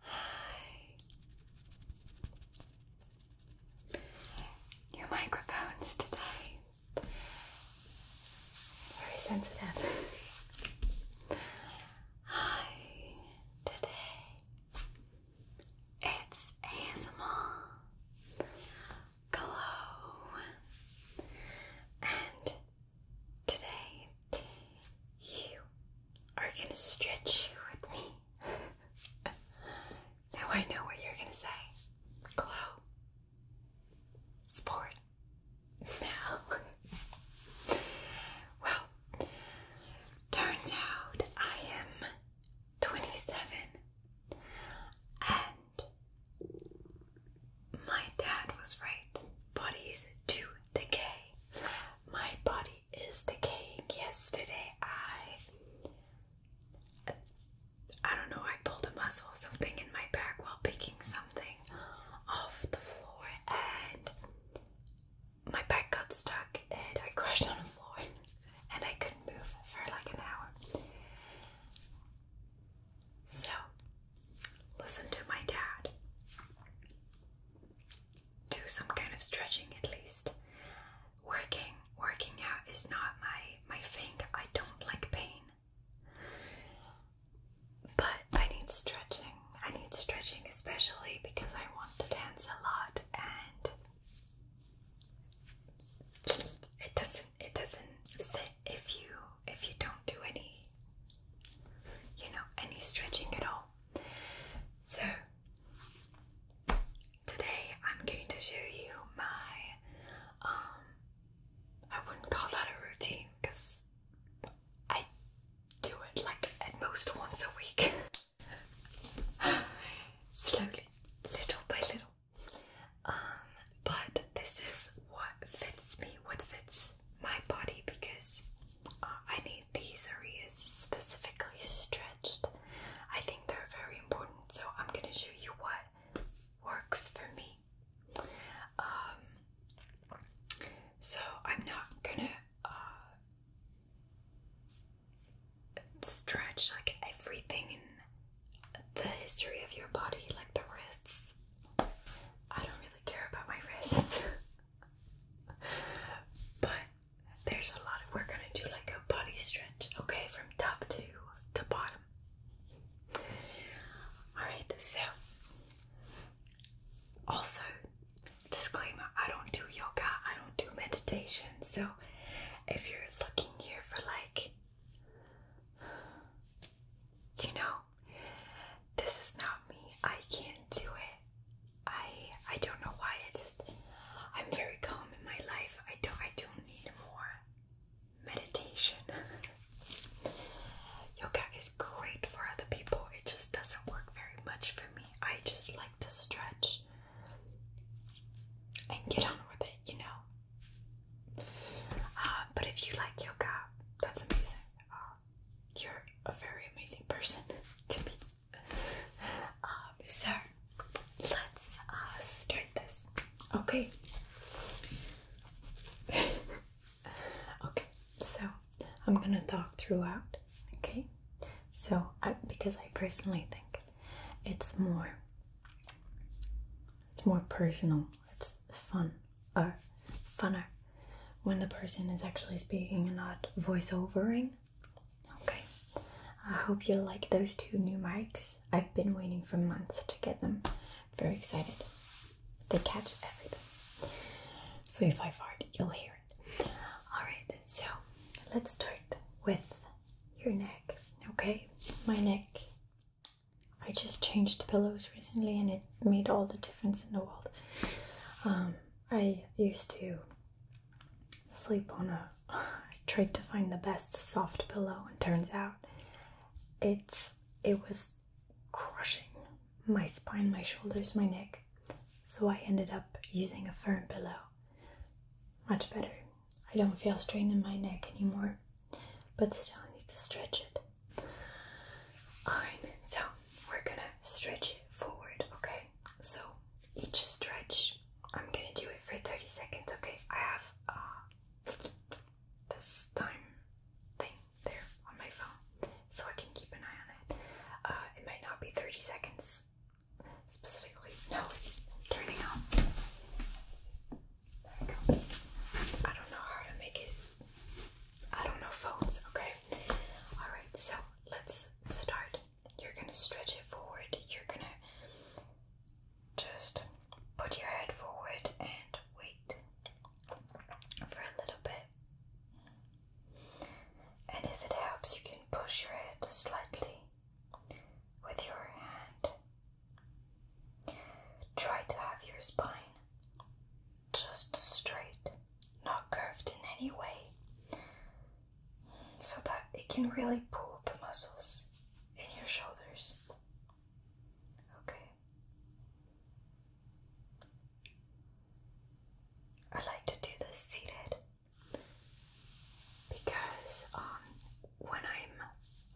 Hi. microphones today. Very sensitive. Hi. Today it's ASMR Glow. And today you are gonna stretch with me. now I know what you're gonna say. Glow. Sport. Now. well, turns out I am 27 and my dad was right. Bodies to decay. My body is decaying. Yesterday, I. I don't know, I pulled a muscle something in my back while picking something off the floor and my back got stuck and I crashed on the floor and I couldn't move for like an hour. So, listen to my dad do some kind of stretching at least. Working, working out is not my my thing. I don't like pain. But I need stretching. I need stretching especially because I want to dance a lot and it doesn't it doesn't fit if you if you don't do any you know any stretching at all. So, today I'm going to show you my, um, I wouldn't call that a routine because I do it like at most once a week. Slowly, little by little. Um, but this is what fits me, what fits my body because uh, I need these areas specifically stretched. I think they're very important, so I'm gonna show you what works for me. Um, so I'm not gonna uh, stretch like everything in the history of your body, like the wrists. I don't really care about my wrists. but there's a lot of we're gonna do like a body stretch, okay, from top to to bottom. Alright, so also disclaimer, I don't do yoga, I don't do meditation, so if you're looking here for like you know, this is not me. I can't do it. I I don't know why I just I'm very calm in my life. I don't I don't need more meditation. Yoga is great for other people. It just doesn't work very much for me. I just like to stretch and get on with it, you know. Uh, but if you like yoga, that's amazing. Uh, you're a very amazing person to me. Um, sir. let's uh, start this. Okay. okay. So I'm gonna talk throughout. Okay. So because I personally think it's more, it's more personal. It's fun. Or uh, funner when the person is actually speaking and not voiceovering. Okay, I hope you like those two new mics. I've been waiting for months to get them. Very excited. They catch everything. So if I fart, you'll hear it. Alright, so let's start with your neck. Okay, my neck. I just changed pillows recently and it made all the difference in the world. Um, I used to sleep on a. I tried to find the best soft pillow, and turns out it's it was crushing my spine, my shoulders, my neck. So I ended up using a firm pillow. Much better. I don't feel strain in my neck anymore, but still I need to stretch it. Alright, so we're gonna stretch it forward, okay? So each stretch, I'm gonna do it for 30 seconds, okay? I have uh, this time thing there on my phone so I can keep an eye on it. Uh, it might not be 30 seconds specifically. No, it's turning on. There we go. I don't know how to make it I don't know phones, okay? Alright, so let's start. You're gonna stretch it forward, you're gonna just put your head forward and wait for a little bit. And if it helps, you can push your head slightly with your hand. Try to have your spine just straight, not curved in any way, so that it can really pull the muscles in your shoulders. Okay. I like to do this seated because um, when I'm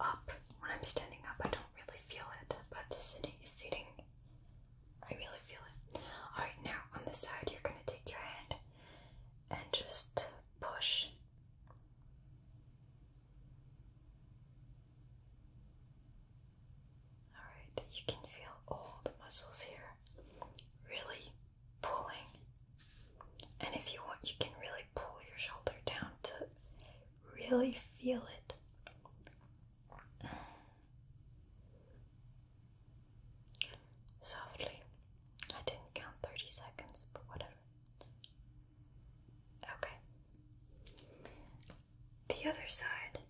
up, when I'm standing up, I don't really feel it, but sitting, sitting I really feel it. Alright, now on the side, you're going to take your hand and just push. Alright, you can feel all the muscles here really pulling. And if you want, you can really pull your shoulder down to really feel it. Softly. I didn't count 30 seconds, but whatever. Okay. The other side,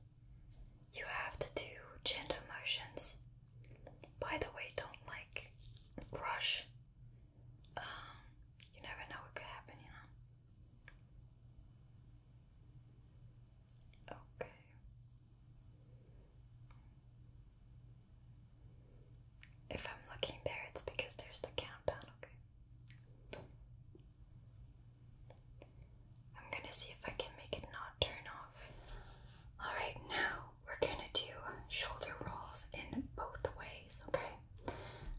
you have to do gentle motions. By the way, don't like rush. Um, you never know what could happen, you know. Okay. If I'm looking there, it's because there's the countdown, okay? I'm gonna see if I can make it not turn off. Alright, now we're gonna do shoulder rolls in both ways, okay?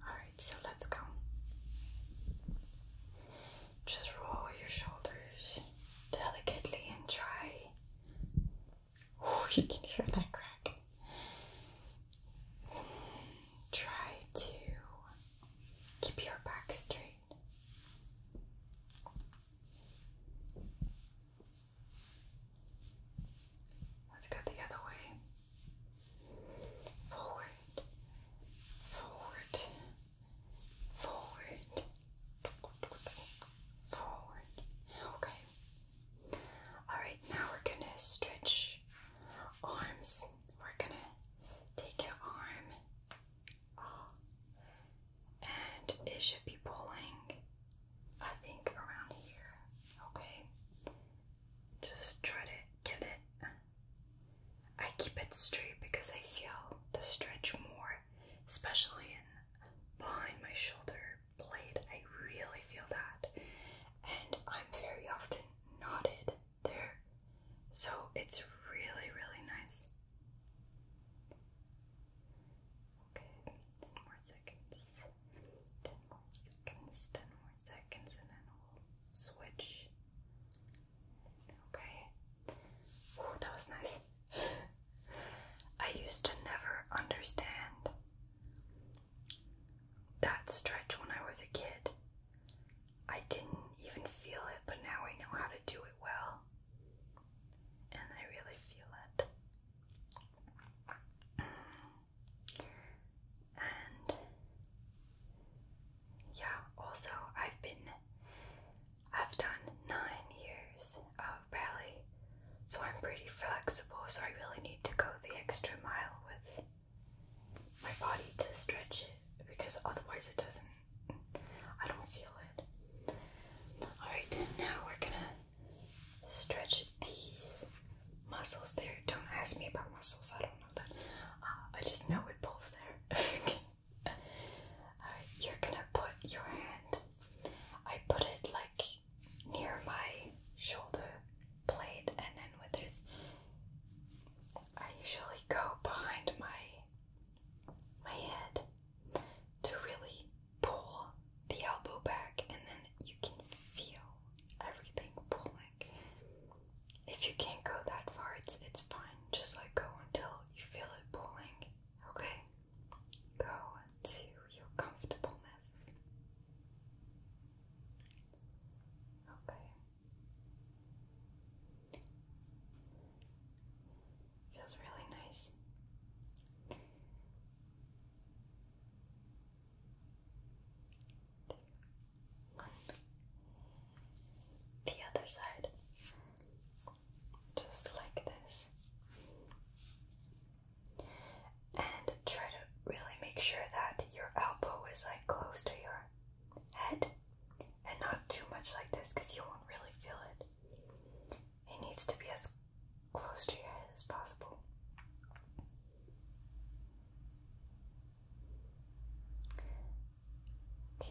Alright, so let's go. Just roll your shoulders delicately and try. Oh, you can hear that crack. Try to keep your back straight. Let's go the other way. Forward, forward, forward, forward. Okay. All right. Now we're gonna stretch arms. We're gonna take your arm, and it should be pulling. I think around here. Okay. Just try to get it. I keep it straight because I feel the stretch more, especially in behind my shoulder blade. I really feel that. And I'm very often knotted there. So it's really, really nice. Okay, 10 more seconds. 10 more seconds, 10 more seconds, and then we'll switch. Okay. Ooh, that was nice. I used to never understand that stretch when I was a kid. I didn't even feel it, but now I know how to do it well. And I really feel it. And yeah, also, I've been I've done nine years of ballet, so I'm pretty flexible, so I really need to go the extra mile with my body to stretch it because otherwise it doesn't, I don't feel it. Alright, then now we're gonna stretch these muscles there. Don't ask me about muscles, I don't know that. Uh, I just know it pulls there. okay you're gonna put your hand, I put it like near my shoulder blade, and then with this, I usually go behind my my head to really pull the elbow back, and then you can feel everything pulling if you can't go that far, it's it's fine. Just like go until you feel it pulling. Okay? Go to your comfortableness. Okay. Feels really nice. There the other side, just like this, and try to really make sure that your elbow is like close to your head and not too much like this because you won't really feel it. It needs to be as close to your head as possible. Okay.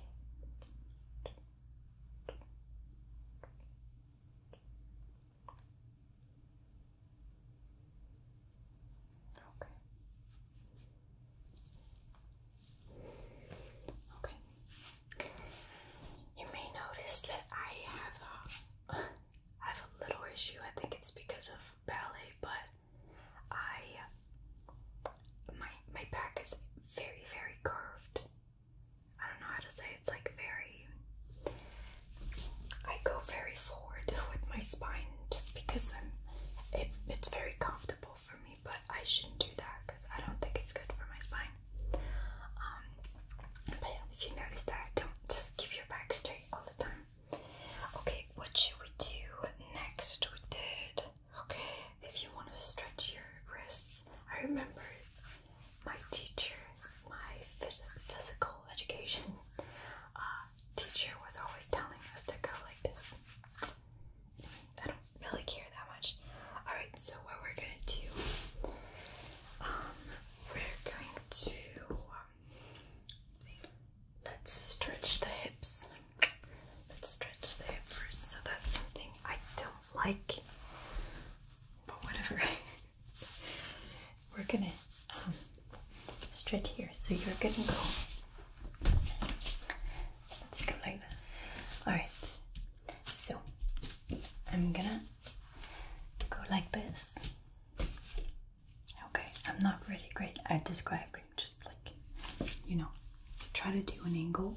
Okay. You may notice that I have a, I have a little issue. I think it's because of ballet, but I my my back is very very curved. I don't know how to say it's like very I go very forward with my spine just because I'm it, it's very comfortable for me, but I shouldn't do that because I don't think it's good for my spine. Um, but yeah, if you notice that, don't just keep your back straight all the time. Okay, what should we do next? with it? Okay, if you want to stretch your wrists, I remember my teacher, my physical education uh, teacher, was always telling us to go like this. I don't really care that much. Alright, so what we're gonna do, um, we're going to, um, let's stretch the hips. Let's stretch the first. So that's something I don't like, but whatever. We're gonna um, stretch here. So you're gonna go. Let's go like this. All right. So I'm gonna go like this. Okay, I'm not really great at describing just like you know try to do an angle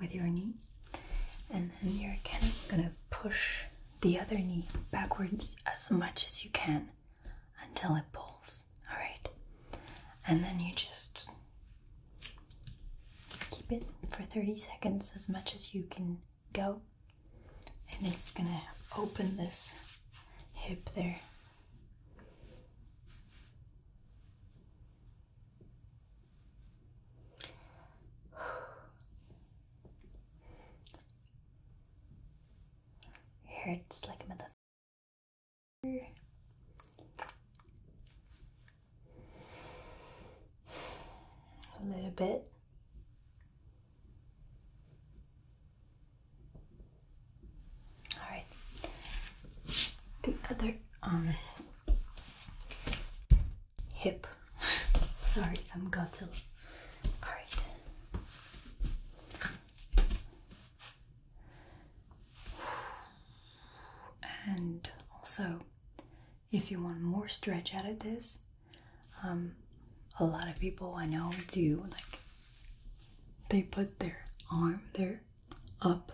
with your knee and then you're gonna push the other knee backwards as much as you can until it pulls all right and then you just keep it for 30 seconds as much as you can go and it's gonna open this hip there Hurts like a mother. A little bit. All right. The other um hip. Sorry, I'm Godzilla. All right. And also, if you want more stretch out of this, um, a lot of people I know do like they put their arm, there, up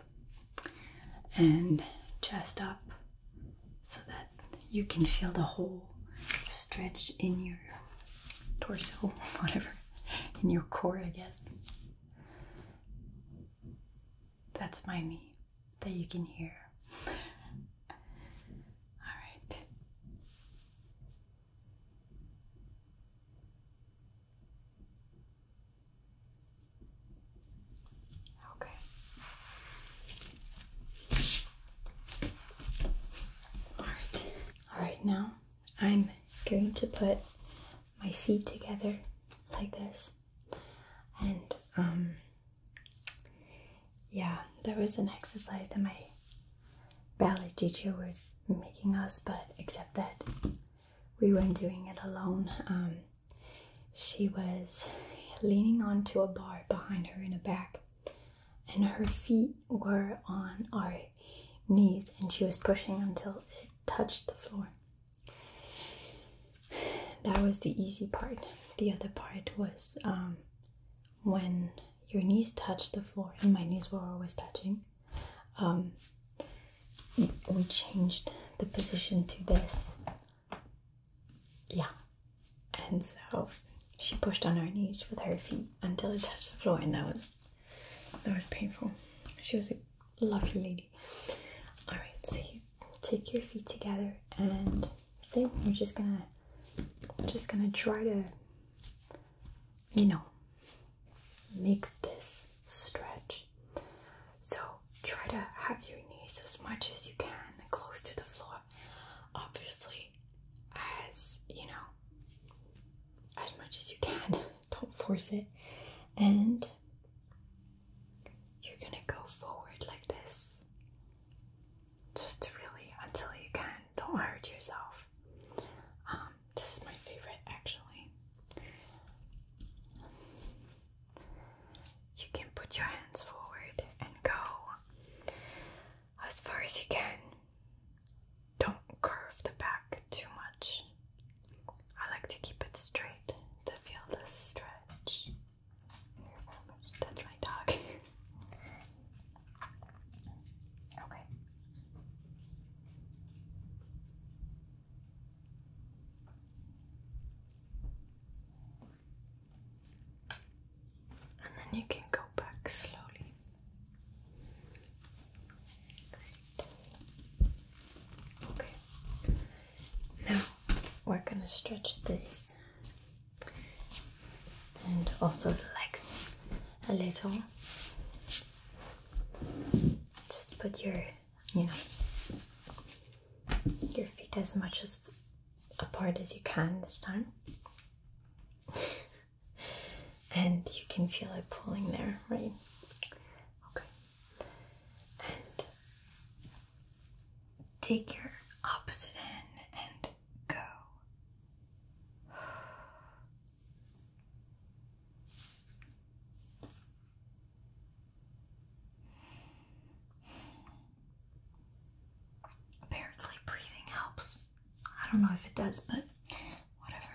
and chest up so that you can feel the whole stretch in your torso, whatever, in your core, I guess. That's my knee that you can hear. All right. Okay. All right. All right, now I'm going to put my feet together like this. And um yeah, there was an exercise that my ballet teacher was making us, but except that we weren't doing it alone. Um, she was leaning onto a bar behind her in the back, and her feet were on our knees, and she was pushing until it touched the floor. That was the easy part. The other part was um, when your knees touched the floor, and my knees were always touching um, we changed the position to this. Yeah. And so she pushed on her knees with her feet until it touched the floor, and that was that was painful. She was a lovely lady. All right, so take your feet together, and same. You're just gonna just gonna try to you know, make this stretch. So try to have your knees as much as you can close to the floor. Obviously, as you know, as much as you can, don't force it. And you're gonna go forward like this just really until you can don't hurt yourself. Um, this is my favorite actually. You can put your hands forward and go as far as you can. Don't curve the back too much. I like to keep it straight to feel the stretch. That's my dog. okay. And then you can go back slowly. Great. Okay. Now we're gonna stretch this and also the legs a little just put your, you know, your feet as much as apart as you can this time. and you can feel it pulling there, right? Okay. And take your opposite hand and go. Apparently, breathing helps. I don't know if it does, but whatever.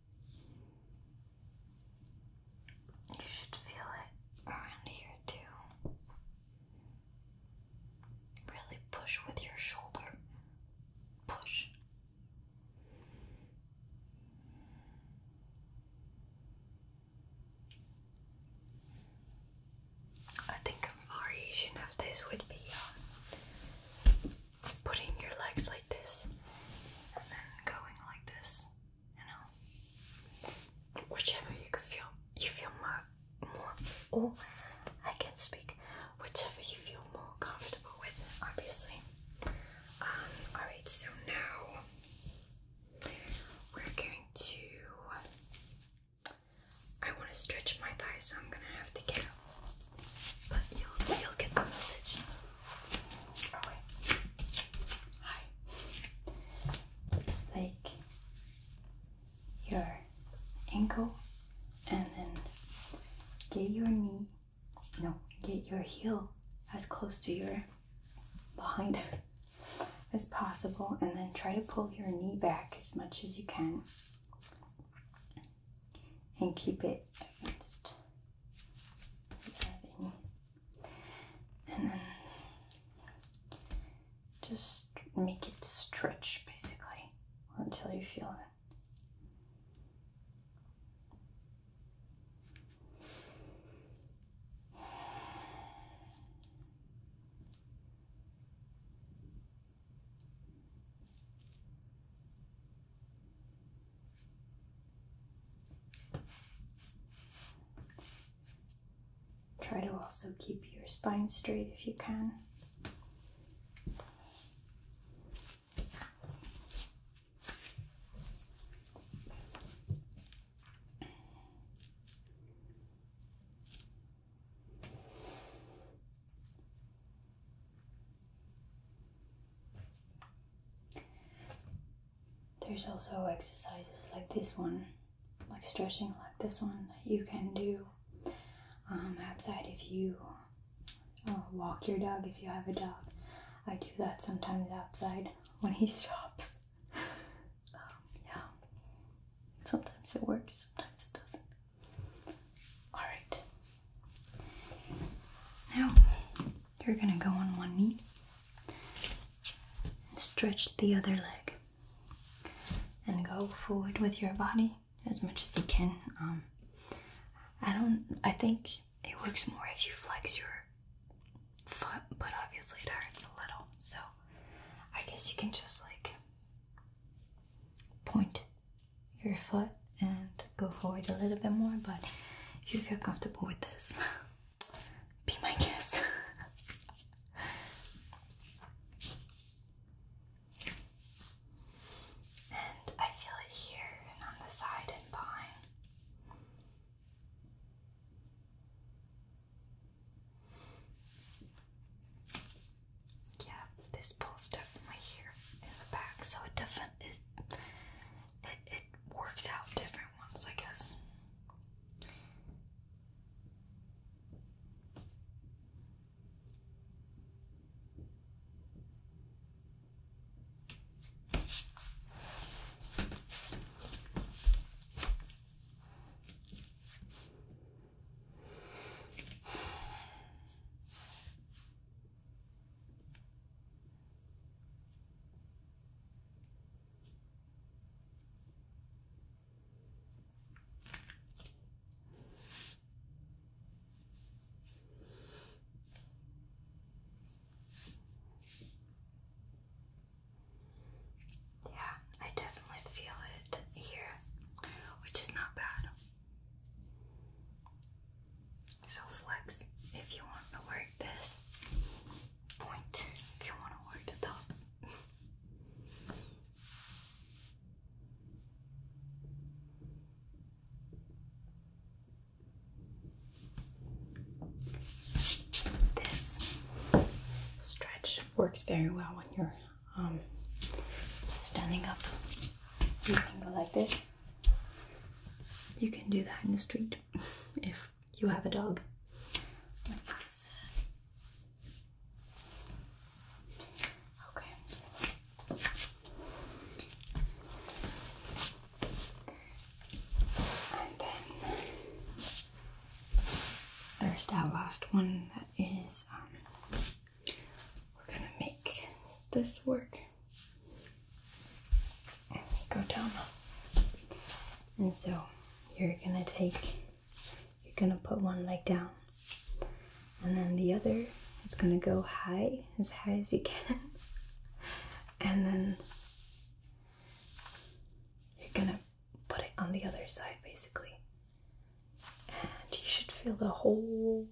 You should feel it around here too. Really push with your shoulder. Push. I think a variation of this would be uh, putting your legs like this and then going like this you know, whichever you feel, you feel more, more. Oh, I can speak. Whichever you feel more comfortable with, obviously. Um. All right. So now we're going to. I want to stretch my thighs, so I'm gonna have to get. But you'll you'll get the message. Oh Hi. let take your ankle and then get your knee. No, get your heel as close to your behind as possible and then try to pull your knee back as much as you can and keep it referenced And then just make it stretch basically until you feel it. Try to also keep your spine straight if you can. There's also exercises like this one, like stretching like this one, you can do um, outside if you uh, walk your dog, if you have a dog. I do that sometimes outside when he stops. Um, yeah. Sometimes it works, sometimes it doesn't. Alright. Now, you're gonna go on one knee and stretch the other leg and go forward with your body as much as you can. Um, I don't, I think it works more if you flex your foot, but obviously it hurts a little, so I guess you can just like point your foot and go forward a little bit more, but if you feel comfortable with this, be my guest. and I feel it here and on the side and behind. Yeah, this pulls stuff from in the back, so it definitely it, it works out different ones, I guess. Yeah, I definitely feel it here, which is not bad. So flex if you want to work this point, if you want to work the top. This stretch works very well when you're um, standing up, you can go like this. You can do that in the street if you have a dog. Okay. And then there's that last one that is um, we're gonna make this work go down. And so you're gonna take, you're gonna put one leg down, and then the other is gonna go high, as high as you can, and then you're gonna put it on the other side basically. And you should feel the whole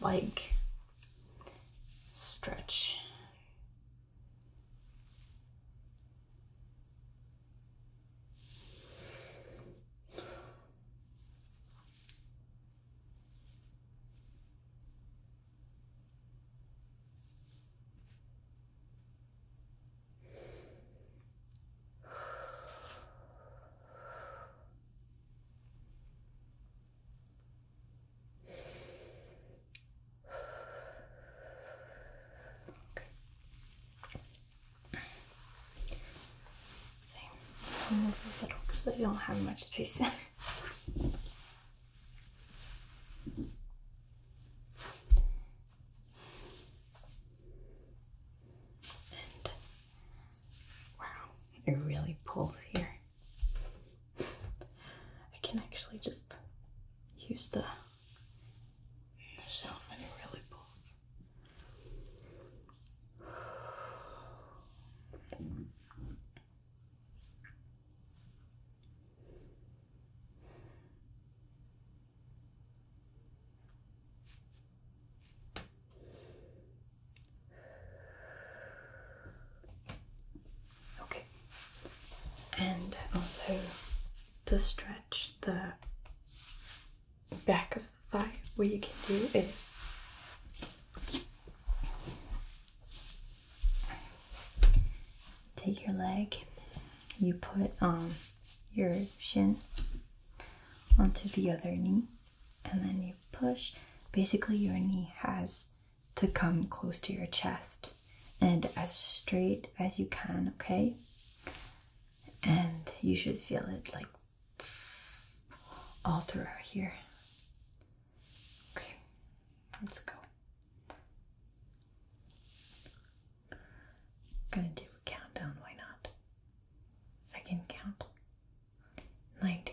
like stretch. So a little because I don't have much space. And Wow, it really pulls here. I can actually just use the, the shelf and it really pulls. Okay, and also to stretch the back of the thigh, what you can do is take your leg, you put um, your shin onto the other knee and then you push. Basically, your knee has to come close to your chest and as straight as you can, okay? And you should feel it like all throughout here. Okay, let's go. I'm gonna do a countdown, why not? If I can count. 90,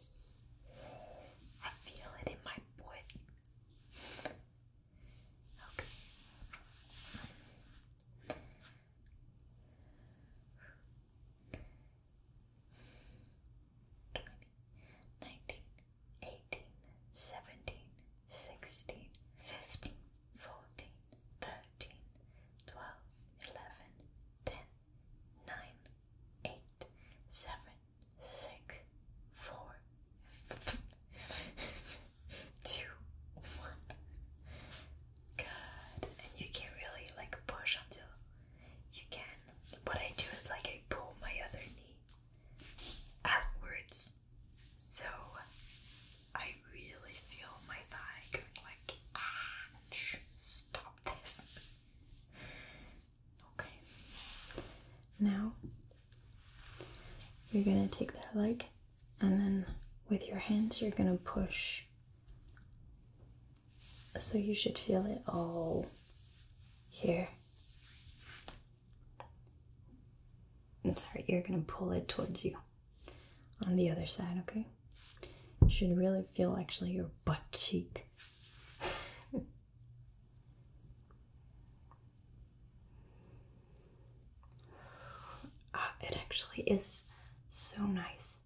I feel it in my butt. Okay. Twenty, nineteen, eighteen, seventeen, sixteen, fifteen, fourteen, thirteen, twelve, eleven, ten, nine, eight, seven, six, four, two, one. Good. And you can really like push until you can. What I do is like I pull my other knee outwards. So I really feel my thigh going like ah stop this. Okay. Now you're going to take that leg and then with your hands you're going to push. So you should feel it all here. I'm sorry, you're going to pull it towards you on the other side, okay? You should really feel actually your butt cheek Ah, it actually is so nice.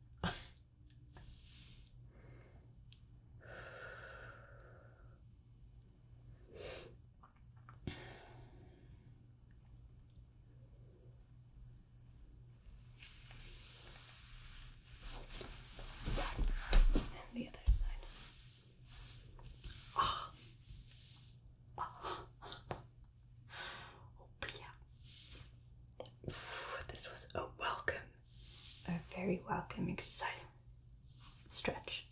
And the other side. Oh. Oh. oh yeah. This was a welcome, a very welcome exercise. Stretch.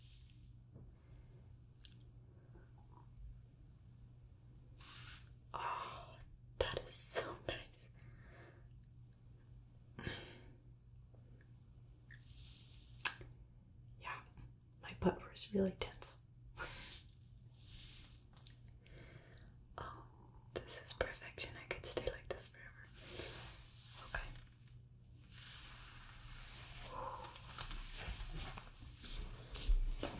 Oh, that is so nice. Yeah, my butt was really tense. oh, this is perfection. I could stay like this forever. Okay.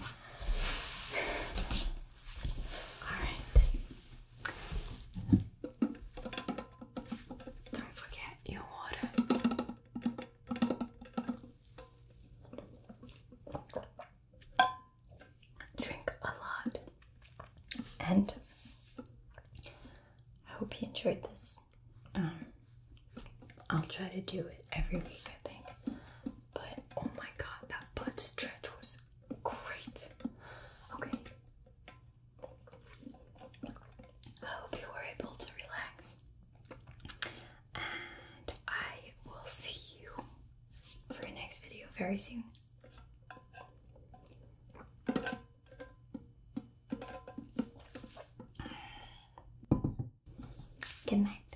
All right. Don't forget your water. Drink a lot. And I hope you enjoyed this. Um, I'll try to do it every week, I think. But oh my god, that butt stretch was great. Okay, I hope you were able to relax, and I will see you for the next video very soon. Good night.